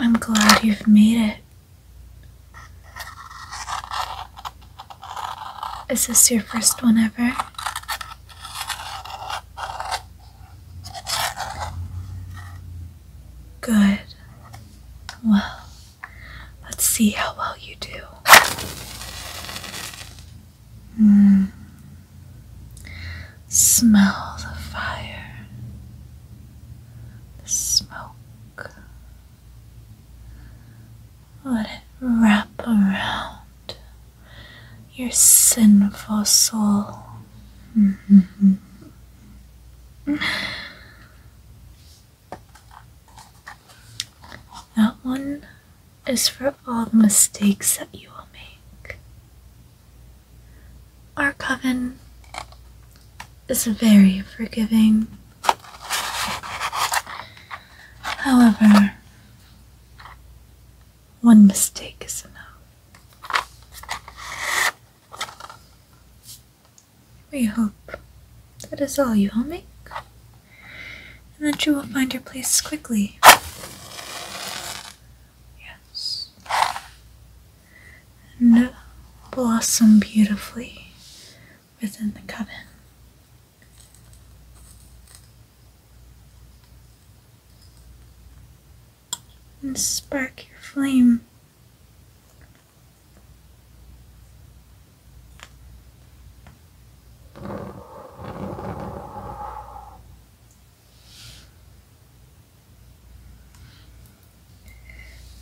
I'm glad you've made it. Is this your first one ever? Good. Well, Let's see how well you do. Mm. Smell the fire, the smoke. Let it wrap around your sinful soul. Mm-hmm. That one is for all the mistakes that you will make. Our coven is very forgiving. However, one mistake is enough. We hope that is all you will make, and that you will find your place quickly. Yes. And blossom beautifully within the coven. And spark your flame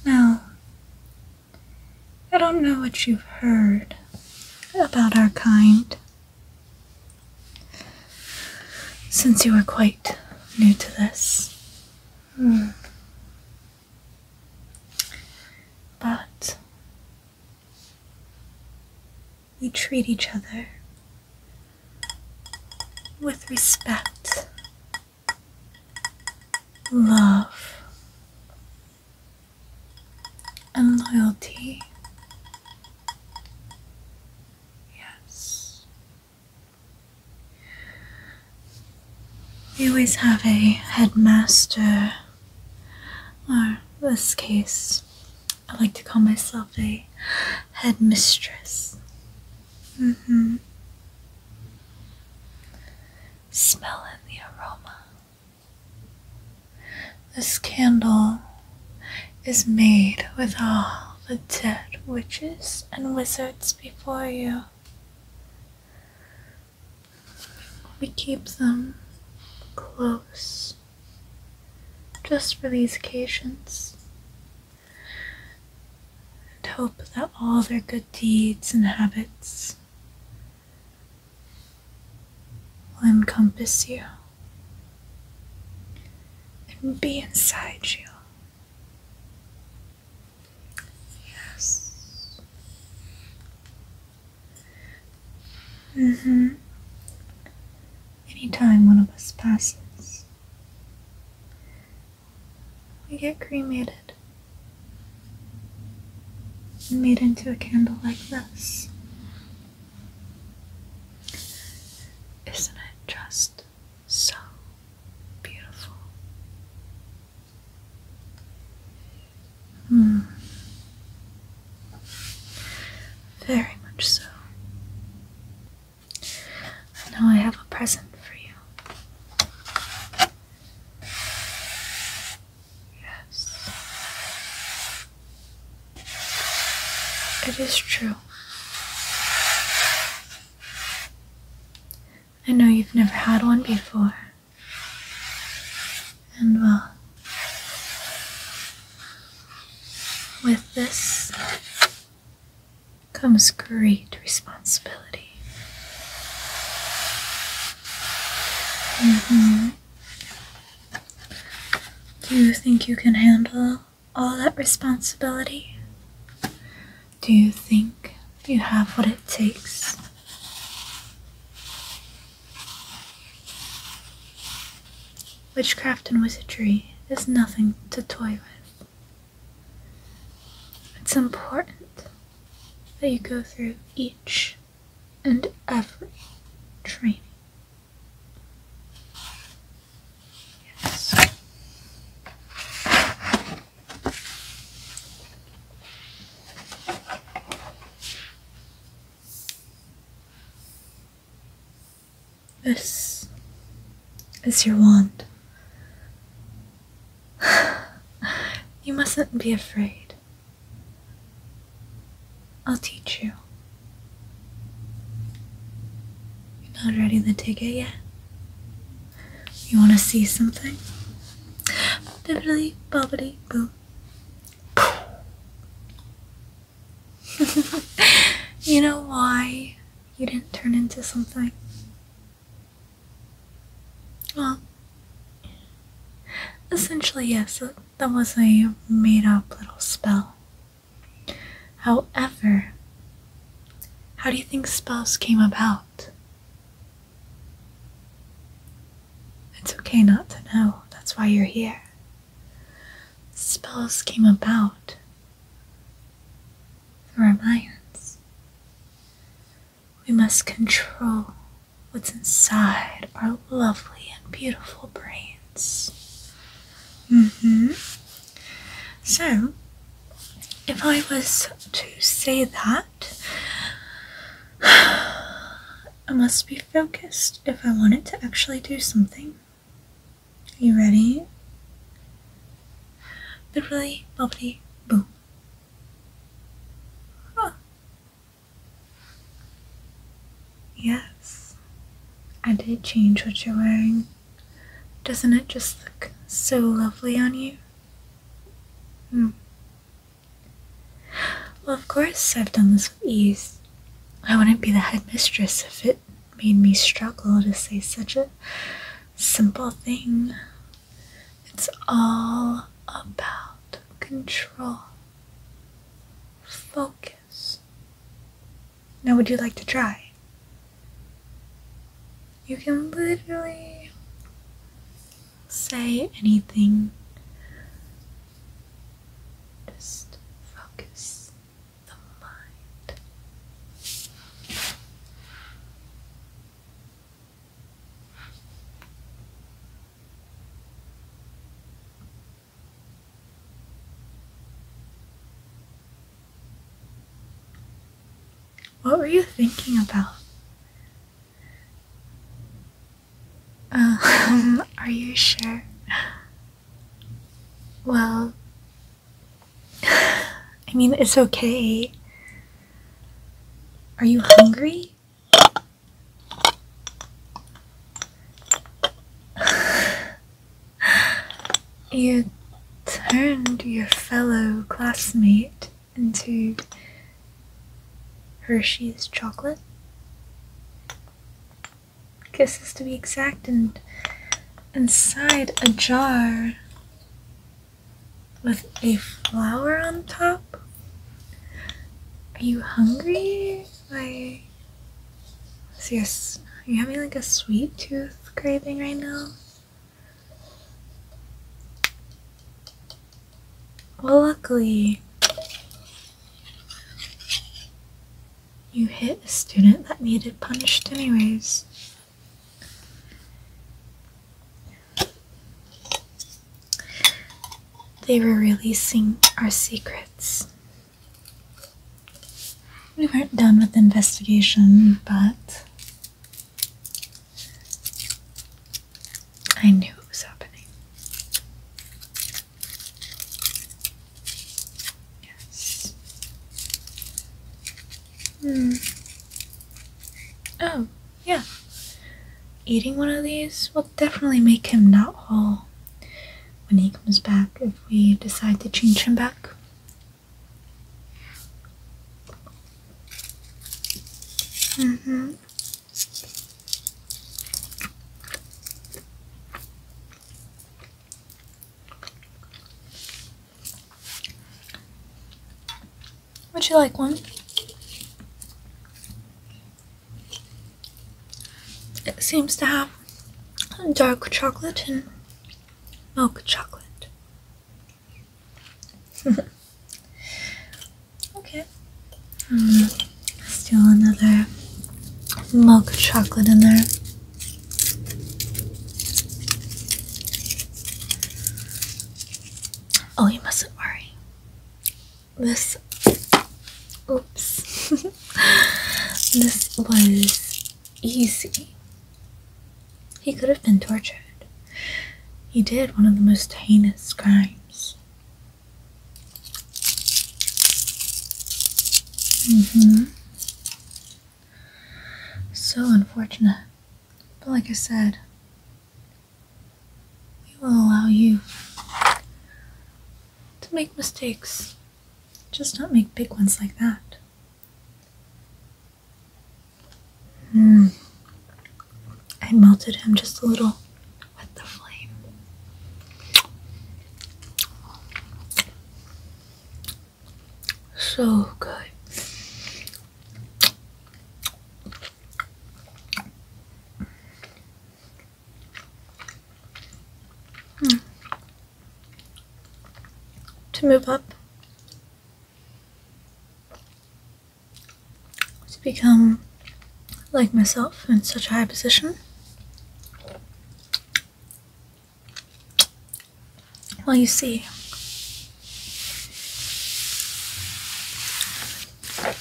now, I don't know what you've heard about our kind since you are quite new to this. Hmm. But we treat each other with respect, love, and loyalty. Yes. We always have a headmaster, or in this case, I like to call myself a headmistress. Mm hmm. Smell the aroma. This candle is made with all the dead witches and wizards before you. We keep them close just for these occasions and hope that all their good deeds and habits will encompass you and be inside you. Yes. Mm-hmm. Anytime one of us passes, we get cremated and made into a candle like this. Isn't it just so beautiful. Hmm. Very much so. I know I have a present for you. Yes. It is true. I know you've never had one before. And well, with this comes great responsibility. -hmm. Do you think you can handle all that responsibility? Do you think you have what it takes? Witchcraft and wizardry is nothing to toy with. It's important that you go through each and every training. Yes. This is your wand. you mustn't be afraid. I'll teach you. You're not ready to take it yet? You want to see something? Bibbidi bobbidi boo. you know why you didn't turn into something? Well, essentially, yes, that was a made up little spell. However, how do you think spells came about? It's okay not to know, that's why you're here. Spells came about through our minds. We must control what's inside our lovely and beautiful brains. Mm hmm. So, if I was to say that, I must be focused if I wanted to actually do something. Are you ready? Literally, bubbly, boom. Yes, I did change what you're wearing. Doesn't it just look so lovely on you? Hmm. Well, of course, I've done this with ease. I wouldn't be the headmistress if it made me struggle to say such a simple thing. It's all about control, focus, now, would you like to try? You can literally say anything. Just focus the mind. What were you thinking about? Um, are you sure? Well, I mean, it's okay. Are you hungry? You turned your fellow classmate into Hershey's chocolate? Kisses to be exact, and inside a jar with a flower on top? Are you hungry? Like, is are you having like a sweet tooth craving right now. Well, luckily, you hit a student that needed punished, anyways. They were releasing our secrets. We weren't done with the investigation, but I knew it was happening. Yes. Hmm. Oh, yeah. Eating one of these will definitely make him not whole when he comes back if we decide to change him back. Mm-hmm. Would you like one? It seems to have dark chocolate and milk oh, chocolate. okay. Um, still another milk chocolate in there. Oh, you mustn't worry. This, oops, this was easy. He could have been tortured. He did one of the most heinous crimes. Mm-hmm. So unfortunate. But like I said, we will allow you to make mistakes. Just do not make big ones like that. Hmm. I melted him just a little with the flame. So good. Mm to move up, to become like myself in such a high position. Well, you see,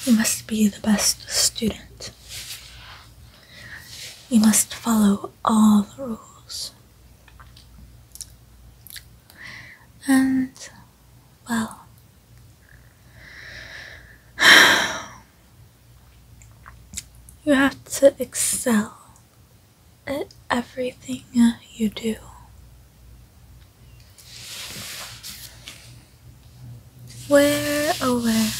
you must be the best student you must follow all the rules. And, well, you have to excel at everything uh, you do. Where, oh where,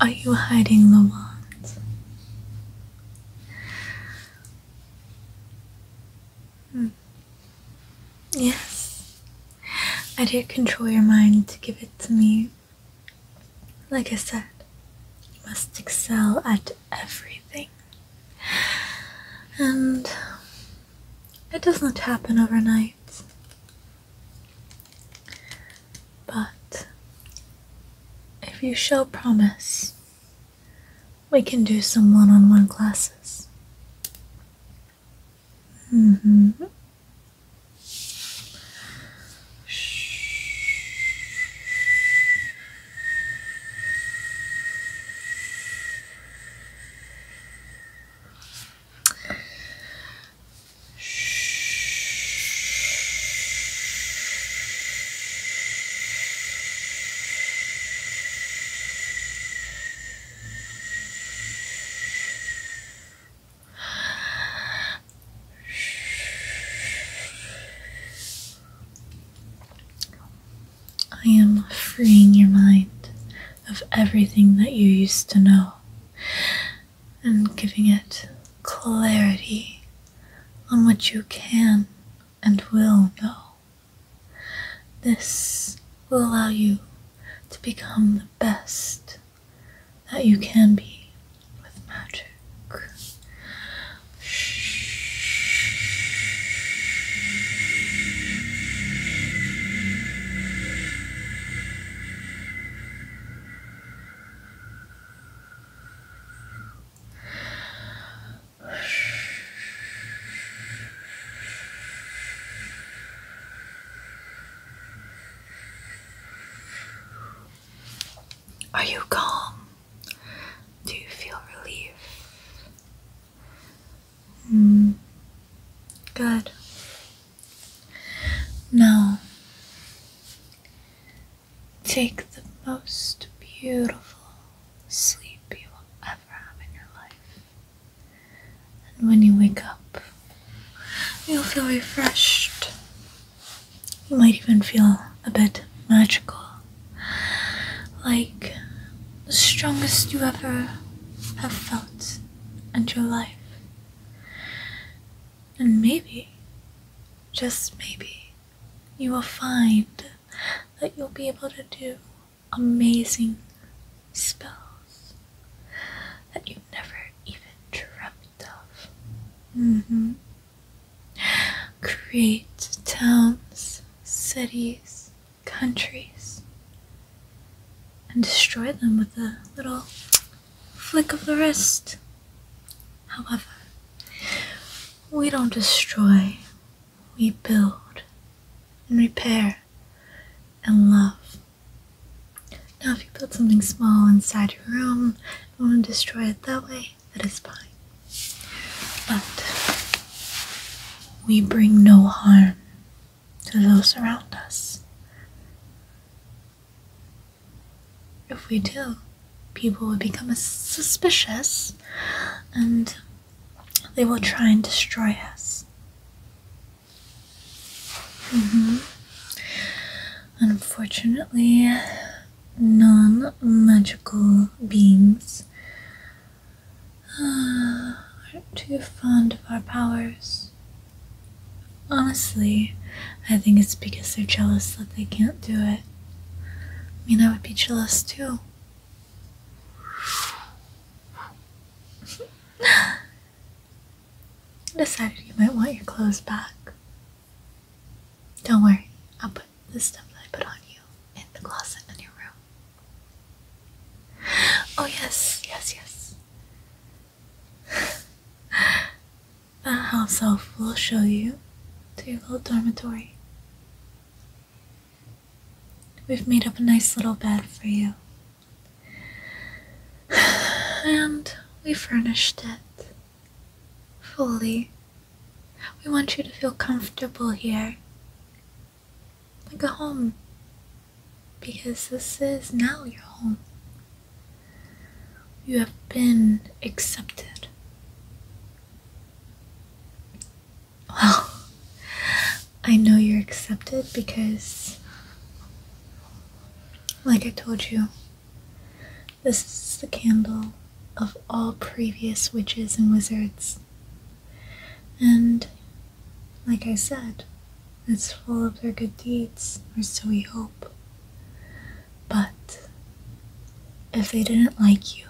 are you hiding, Lamont? Hmm. Yes, I did control your mind to give it to me. Like I said, you must excel at everything. And it doesn't happen overnight. But if you show promise, we can do some one on one classes. Mm hmm. I am freeing your mind of everything that you used to know and giving it clarity on what you can and will know. This will allow you to become the best that you can be with magic. Are you calm? Do you feel relief? Mm. Good. Now, take the most beautiful sleep you will ever have in your life, and when you wake up, you'll feel refreshed. You might even feel a bit magical, like the strongest you ever have felt in your life. And maybe, just maybe, you will find that you'll be able to do amazing spells that you never even dreamt of. Mm-hmm. Create towns, cities, countries and destroy them with a little flick of the wrist. However, we don't destroy, we build and repair and love. Now, if you build something small inside your room and want to destroy it that way, that is fine. But we bring no harm to those around us. If we do, people will become suspicious and they will try and destroy us. Mm-hmm. Unfortunately, non magical beings uh, aren't too fond of our powers. Honestly, I think it's because they're jealous that they can't do it. I mean, I would be jealous too. I decided you might want your clothes back. Don't worry, I'll put the stuff that I put on you in the closet in your room. Oh, yes, yes, yes. that house elf will show you to your little dormitory. We've made up a nice little bed for you. And we furnished it fully. We want you to feel comfortable here like a home because this is now your home. You have been accepted. Well, I know you're accepted because, like I told you, this is the candle of all previous witches and wizards. And like I said, it's full of their good deeds, or so we hope. But if they didn't like you,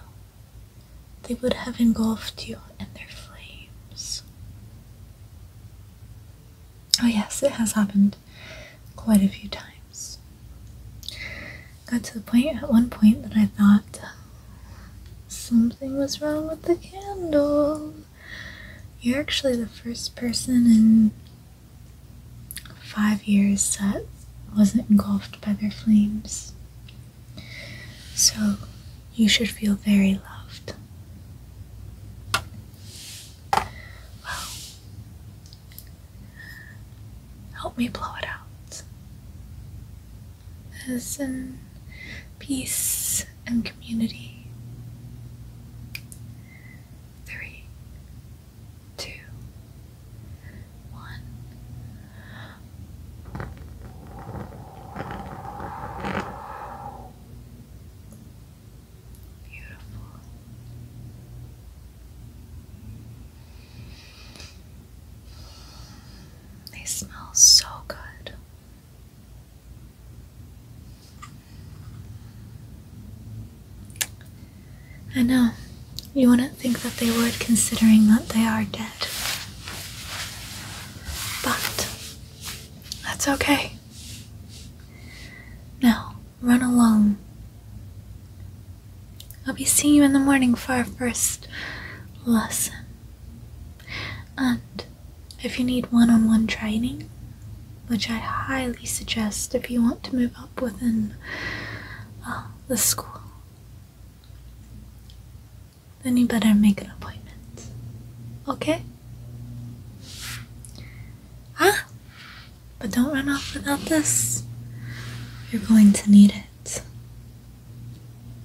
they would have engulfed you in their flames. Oh, yes, it has happened quite a few times. Got to the point at one point that I thought um, something was wrong with the candle you're actually the first person in five years that wasn't engulfed by their flames. So you should feel very loved. Well, help me blow it out. As in peace and community. Three, two, one. Beautiful. They smell so good. I know. You wouldn't think that they would, considering that they are dead. But that's okay. Now, run along. I'll be seeing you in the morning for our first lesson. And if you need one on one training, which I highly suggest if you want to move up within uh, the school, then you better make an appointment. Okay? Ah! But don't run off without this. You're going to need it.